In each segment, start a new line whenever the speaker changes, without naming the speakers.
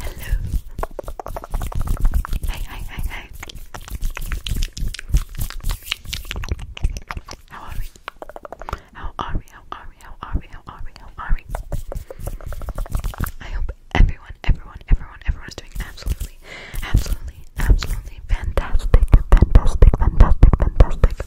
Hello. Hi, hi, hi, hi. How are we? How are we? How are we? How are we? How are we? I hope everyone, everyone, everyone, everyone is doing absolutely, absolutely, absolutely fantastic, fantastic, fantastic, fantastic.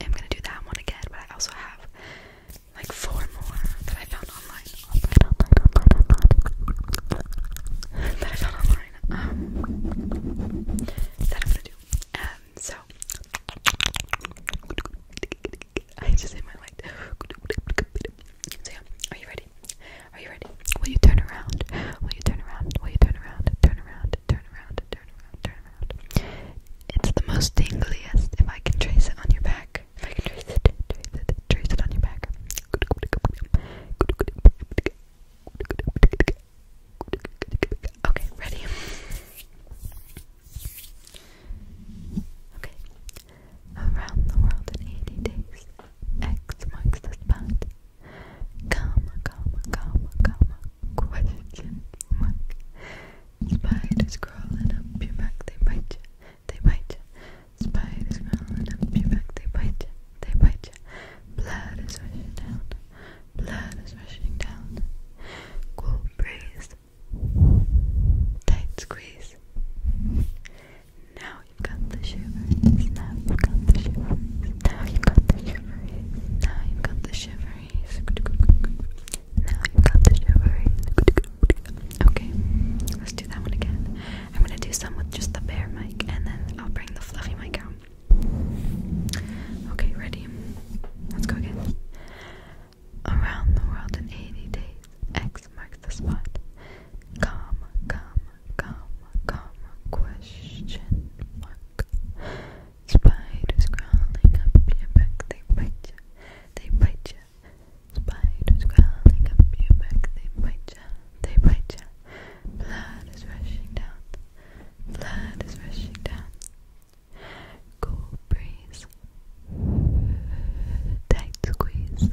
i am gonna do that one again, but I also have like four more that I found online. online. that I found online. Um, that I'm gonna do. Um, so I just hit my light. So are you ready? Are you ready? Will you turn around? Will you turn around? Will you turn around? Turn around. Turn around turn around, turn around. It's the most tingliest if I can trace it on your back. If I can trace it, trace it, trace it on your back. Okay, ready? Okay. Around the world in 80 days. X marks the spot. Comma, comma, comma, comma. Question mark. Spiders crawling up your back, they bite you, they bite you. Spiders crawling up your back, they bite you, they bite you. Blood is rushing down, blood is rushing down. Cool breeze, tight squeeze. Now you've got the shivers, now you've got the shivers, now you've got the shivers, now you've got the shivers. Okay, let's do that one again. I'm gonna do some with just the bare mic and then I'll bring the fluffy mic out. Okay, ready? Let's go again. Around the world in 80 days, X marks the spot. Calm, calm, calm, calm, question mark. Spiders crawling up your back, they bite you. They bite ya. Spiders crawling up your back. They bite ya. They bite ya. Blood is rushing down. Blood is rushing down. Cool breeze. Tight squeeze.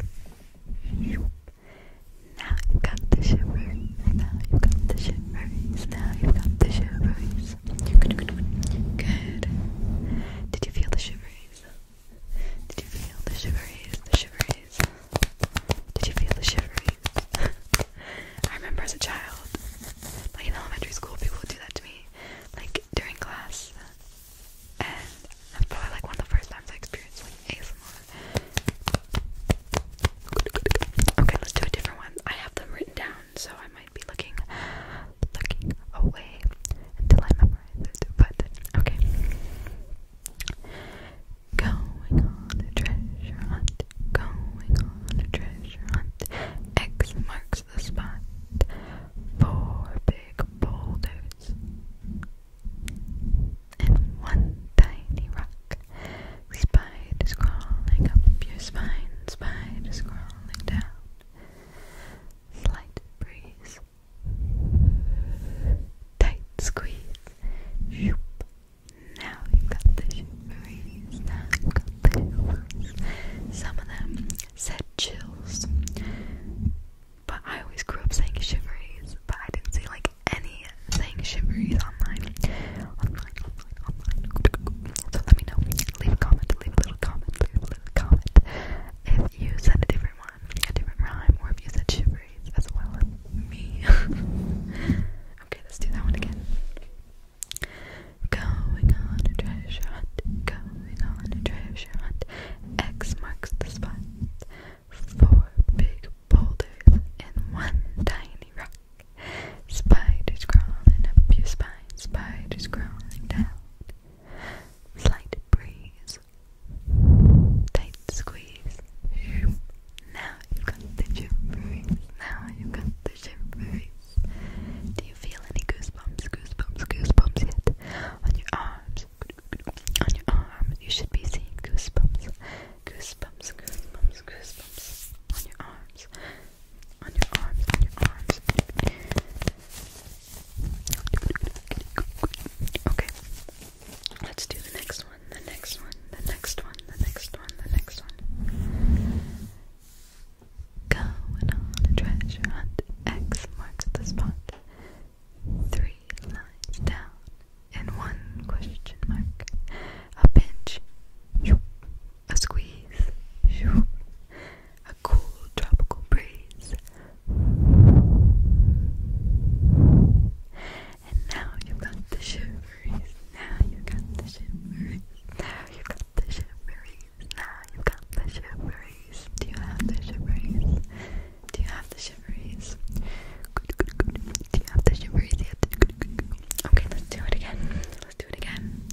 Now you got the shivers. Now you got the shivers. Now you got the shivers. Good, Did you feel the shivers? Did you feel the shivers? The shiveries. Did you feel the shivers? I remember as a child, like in elementary school, people would do that to me, like during class, and that's probably like one of the first times I experienced like ASMR. Okay, let's do a different one. I have them written down so I might be looking looking away until I memorize it. But okay. Going on a treasure hunt. Going on a treasure hunt. X marks the spot. Four big boulders and one tiny rock. Spiders crawling up your spine. Spiders crawling down slight breeze, tight squeeze, shoop. Now you got the shivers, now you got the shivers. Some of them said chills, but I always grew up saying shiveries, but I didn't see like anything saying shiveries online. Online, online, online. So let me know. Leave a comment, leave a little comment, if you said a different one, a different rhyme, or if you said shivries as well as me. okay, let's do that one again. Going on a treasure hunt, going on a treasure hunt. X marks the spot. Four big boulders and one tiny rock. Spiders crawling up your spiders crawling down. Slight breeze. Tight squeeze. Now you've got the jamborees. Now you've got the jamborees. Do you feel any goosebumps, goosebumps, goosebumps yet? On your arms. On your arms. You should be seeing goosebumps. Goosebumps, goosebumps, goosebumps. On your arms. On your arms, on your arms. Okay. Let's do the next one, the next one, the next one, the next one, the next one. Going on a treasure hunt. X marks the spot. Three lines down and one question mark. A pinch. A squeeze a cool tropical breeze. And now you got the shiveries. Now you got the shiveries. Now you got the shiveries. Now you got the shiveries. Do you have the shiveries? Do you have the shiveries? Do you have the shiveries Okay, let's do it again. Let's do it again.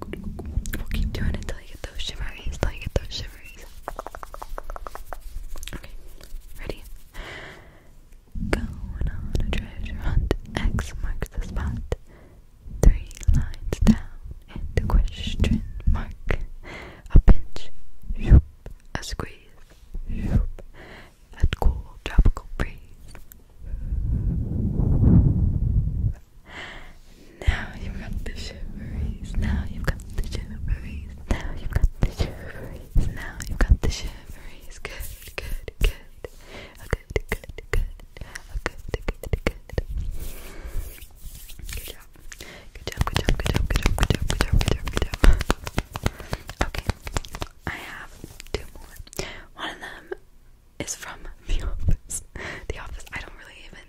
We'll keep doing it until you get those shivers. Until you get those shivers. Okay, ready? Going on a treasure hunt, X marks the spot. Three lines down and a question mark. A pinch, a squeeze, a cool tropical breeze. Now you've got the shiveries. Now you've got the shiveries. Now you've got the shiveries. Now you've got the shiveries. Good, good, good. Oh, good, good, good. Oh, good, good, good. Good job. Good job, good job, good job, good job, good job, good job, good job, good job. Okay, I have two more. One of them is from The Office. The Office, I don't really even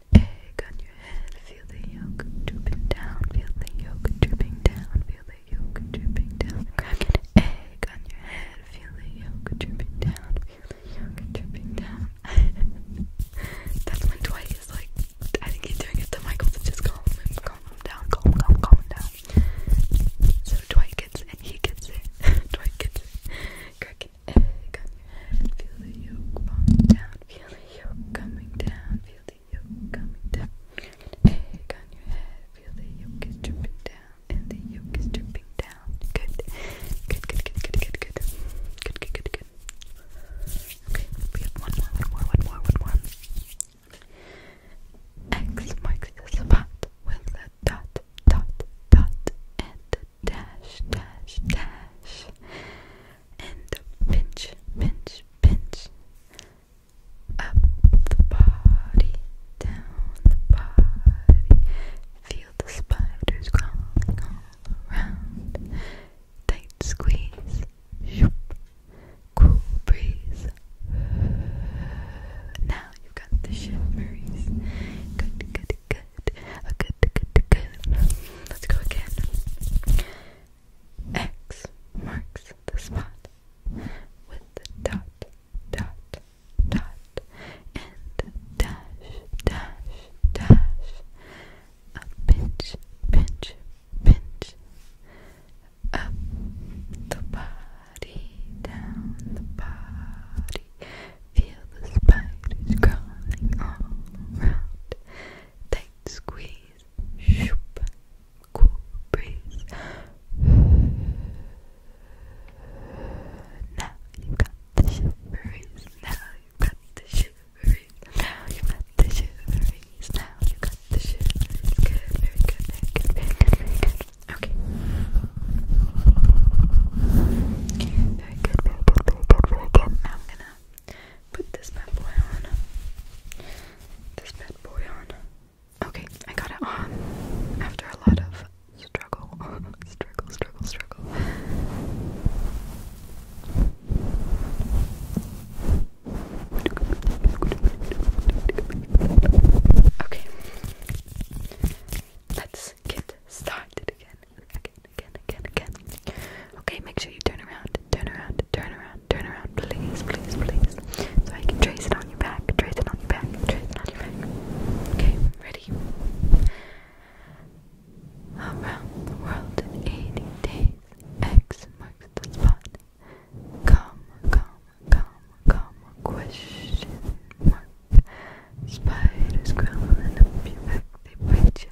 an egg on your head. Feel the yolk dripping down. Feel the yolk dripping down. Feel the yolk dripping down. egg on your head. Feel the yolk dripping down. Feel the yolk dripping down. That's when Dwight is like, I think he's doing it to Michael to just calm him, calm him down, calm, calm, calm down. So Dwight gets it, he gets it. Dwight gets it like an egg on your head. Feel the yolk falling down. Feel the yolk coming down. Feel the yolk coming down. egg on your head. Feel the yolk is dripping down. And the yolk is dripping down. Good. Good, good, good, good, good, good. Good, good, good, Okay, we have one more, one more, one more, one more. X marks the spot with a dot, dot, dot, and dash, dash, dash, and pinch, pinch, pinch. Up the body, down the body. Feel the spiders crawling all around. Tight squeeze, Cool breeze. Now you've got the shivers. Good, good, good, good, good, good. Let's go again. X marks the spot with the dot, dot, dot, and dash, dash, dash. A pinch, pinch, pinch. Up the body, down the body. Feel the spiders crawling all around tight squeeze, shoop, cool breeze. Now you got the shiveries, now you got the shiveries, now you got the shiveries, now you got the shiveries. Good, very good, very good, very good, very good. Okay. Very good, very good, very good, very good. Now I'm gonna Put this bad boy on. This bad boy on. Okay, I got it on um, after a lot of struggle. struggle, struggle, struggle. Okay. Let's get started again. Okay again, again, again. Okay, make sure you turn around, turn around, turn around, turn around, please, please, please. So I can trace it on your back, trace it on your back, trace it on your back. Okay, ready? Around the world in 80 days, X marks the spot. Come, come, come, come, question mark. Spiders crawling up your back, they bite you,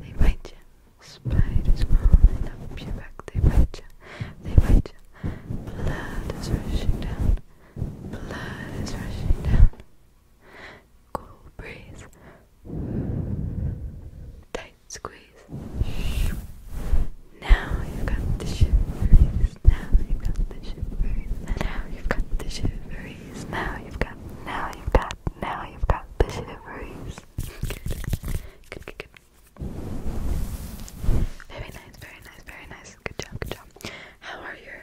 they bite you. Spiders crawling up your back, they bite you, they bite you. Blood is rushing down, blood is rushing down. Cool breeze, tight squeeze. Now you've got the shiveries, now you've got the shiveries, now you've got the shiveries, now you've got, now you've got, now you've got the shiveries. Good, Very nice, very nice, very nice. Good job, good job. How are your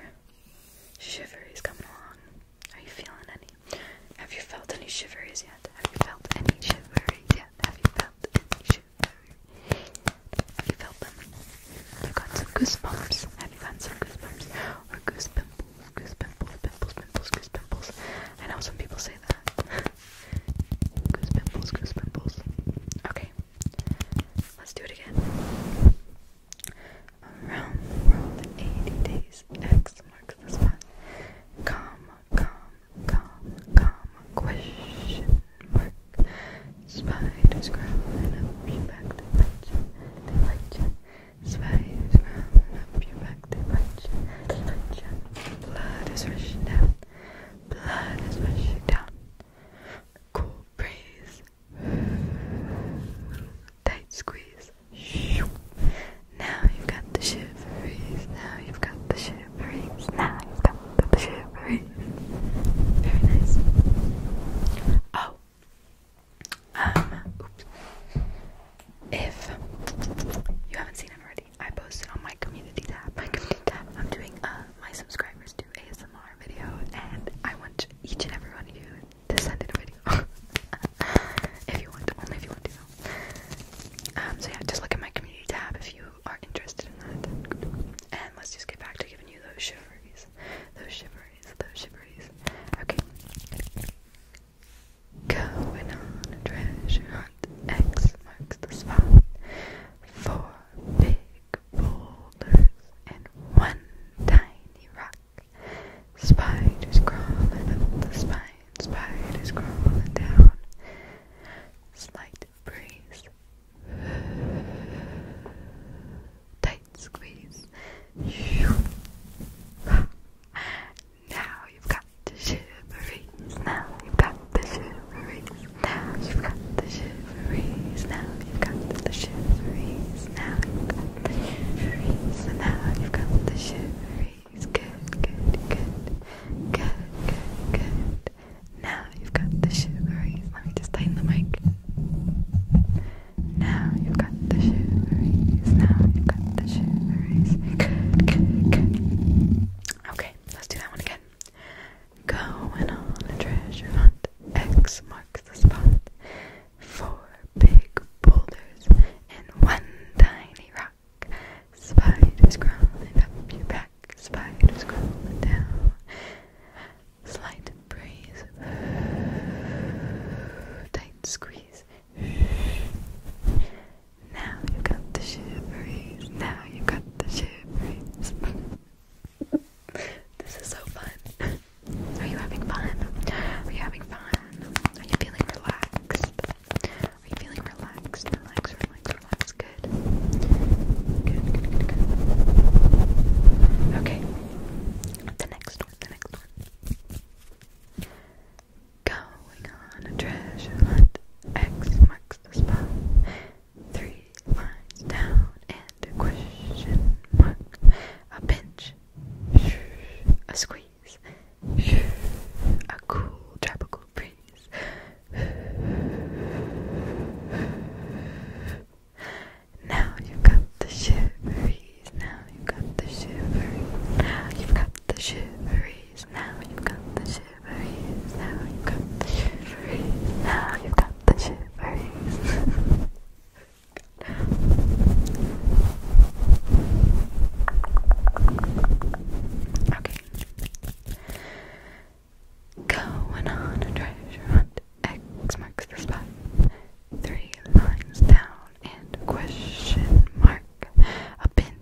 shivers coming along? Are you feeling any? Have you felt any shivers yet? Have you felt any shivers yet? Have you felt any shiveries? Have you felt them? you got some goosebumps? Have you got some goosebumps? Or goosebumps? goose pimples, pimples, pimples, goose pimples. I know some people say that. goose pimples, goose pimples. Okay, let's do it again. Around the world in 80 days, X marks the spot. Calm, calm, calm, calm, question mark. Spiders crawl and up your back, zwei abgewagte Peitsche, Peitsche. Blood is rushing down. Blood is rushing down. Cool breeze. Tight squeeze. Now you've got the shiveries. Now you've got the shiveries. Now you've got the shiveries. Very nice. Oh, um, If you haven't seen it already, I posted on my community tab. My community tab. I'm doing uh, my subscribers do ASMR video, and I want each and every one of you to send in a video. if you want, to, only if you want to. Um, so yeah, just look at my community tab if you are interested in that. And let's just get back to giving you those shiveries, those shiveries, those shiveries. Okay. Going on a treasure hunt, X marks the spot. Four big boulders and one tiny rock. Spiders crawling up the spine, spiders crawling down. Slight breeze, tight squeeze. Now you've got the shiveries. Now you've got the shiveries. Now you've got the shiveries. Now you've got the shiveries. Now you've got the shiveries. And now you've got the shiveries. Good, good, good. Good, good, good. Now you've got the shiveries. Let me just tighten the mic. Now you've got the shiveries. Okay, let's do that one again. Going on a treasure hunt. X marks the spot. Four big boulders and one tiny rock. Spiders crawling up your back. Spiders crawling down. Slight breeze. Tight squeeze. Now you got the shiveries. Now you got the shiveries. this is so fun. Are you having fun? Are you having fun? Are you feeling relaxed? Are you feeling relaxed? Relax, relax, relax. Good, good, good, good. Okay. The next one, the next one. Going on a treasure hunt. X marks the spot. Three lines down and question mark. A pinch. A squeeze. A cool tropical breeze. Now you got the shiveries. Now you got the shiveries. you got the shiveries now you've got the shiveries, now you've got the shiveries, now you've got the shiveries. okay. Going on a treasure hunt. X marks the spot. Three lines down and question mark. A pin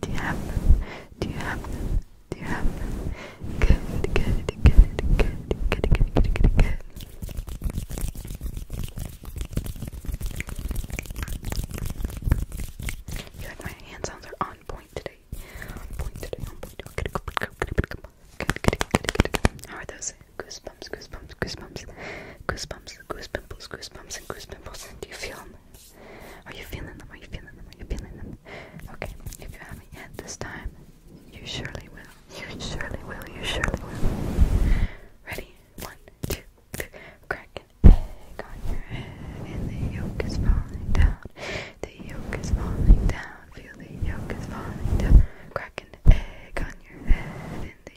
do you have Do you have Do you have Good, good, good, good, good, good, good, good, good. good. I like my hand sounds are on point today. On point today, on point. Good, good, good, good, good, good, good. How are those? Goosebumps, goosebumps, goosebumps, goosebumps, goosebumps, goosebumps, and goosepimples. Do you feel them? Are you feeling them? Are you feeling them? Are you feeling them? Okay, if you haven't yet this time, you surely will. You surely will. You surely will. Ready? One, two, three. Crack an egg on your head, and the yolk is falling down. The yolk is falling down. Feel the yolk is falling down. Crack an egg on your head, and the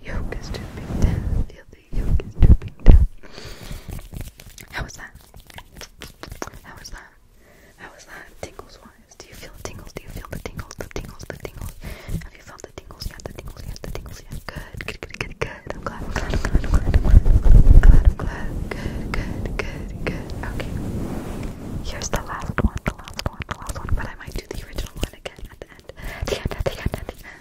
the yolk is dripping down, till the yolk is dripping down. How was that? How was that? How was that? Tingles Do you feel tingles? Do you feel the tingles? The tingles, the tingles. Have you felt the tingles yet? The tingles yet? The tingles yet? Good, good, good, good, I'm glad, I'm glad, I'm glad, I'm glad, glad, I'm glad, Good, good, good, good. Okay. Here's the last one, the last one, the last one, but I might do the original one again at the end. the end, the end, the end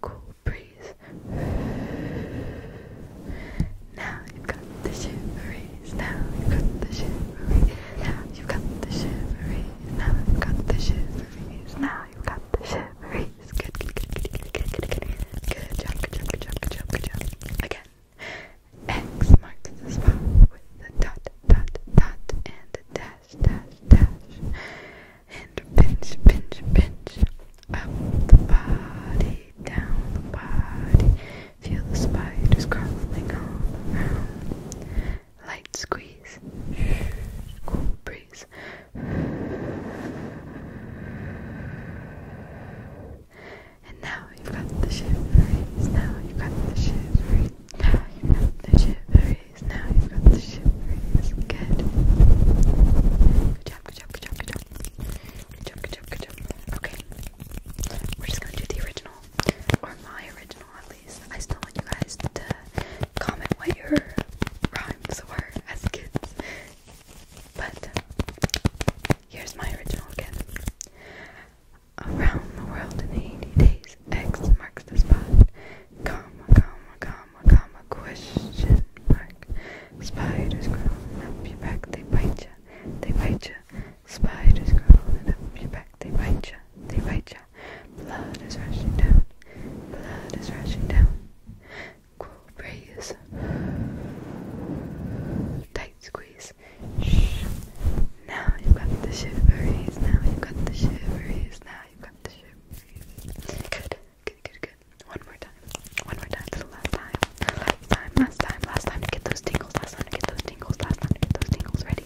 cool breeze. Now you've got the shiveries, now you've got the shiveries, now you've got the shiveries, now you've got the shiveries, now you've got the shiveries. Good, good, good, good, good, good, good, good, good job, good job, good job, good job, good job. Again, X marks the spot with the dot, dot, dot, and a dash dash, dash, and pinch, pinch, pinch. Up the body, down the body. Feel the spiders crawling all around. Light squeeze, cool breeze. And now you've got the shiveries. Now you've got the shivery. Now you've got the shivery now. you got the Good. Good job, good job, good job, good job. Good job, good job, good job. Okay. We're just gonna do the original. Or my original, at least. I still want you guys to comment what your rhymes were as kids. But here's my original again. Around the world in 80 days, X marks the spot comma, comma, comma, comma, question mark. Spiders crawling up your back, they bite ya, they bite ya. Spiders crawling up your back, they bite ya, they bite ya. Blood is rushing down, blood is rushing down. Cool breeze, tight squeeze. Shh. Now you got the shiveries, now you got the shiveries, now you got the ship. Good, good, good, good. One more time. One more time. So last time. Last time. Last time. Last time to get those tingles. Last time to get those tingles. Last time to get those tingles. Ready?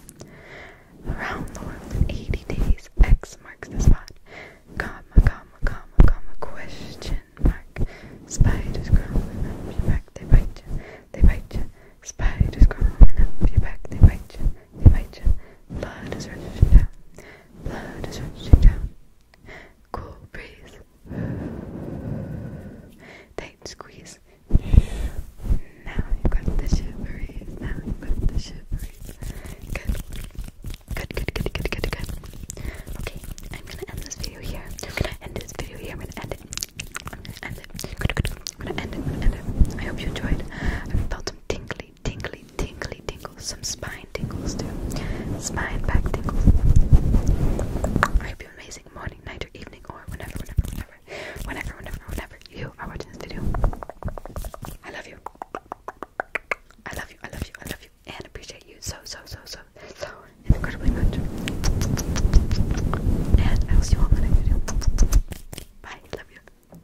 Around the world in 80 days. X marks the spot. Comma, comma, comma, comma. Question mark. Spiders crawling up your back. They bite you. They bite you. Spiders crawling up your back. They bite you. They bite you. Blood is rushing down. Blood is rushing down. Cool breeze. Tight squeeze. Now you've got the shiveries. Now you've got the shiveries. Good. Good, good, good, good, good, good. Okay, I'm gonna end this video here. I'm gonna end this video here. I'm gonna end it. I'm gonna end it. Good, good. I'm gonna end it. I'm gonna end it. I hope you enjoyed. I felt some tingling tingly, tingly, tingly tingles. Some spine tingles too. Spine back tingles. I hope you amazing morning, night, or evening, or whenever, whenever, whenever, whenever, whenever you are watching this video. I love you. I love you. I love you. I love you. And appreciate you so, so, so, so, so incredibly much. And I will see you all in the next video. Bye. Love you.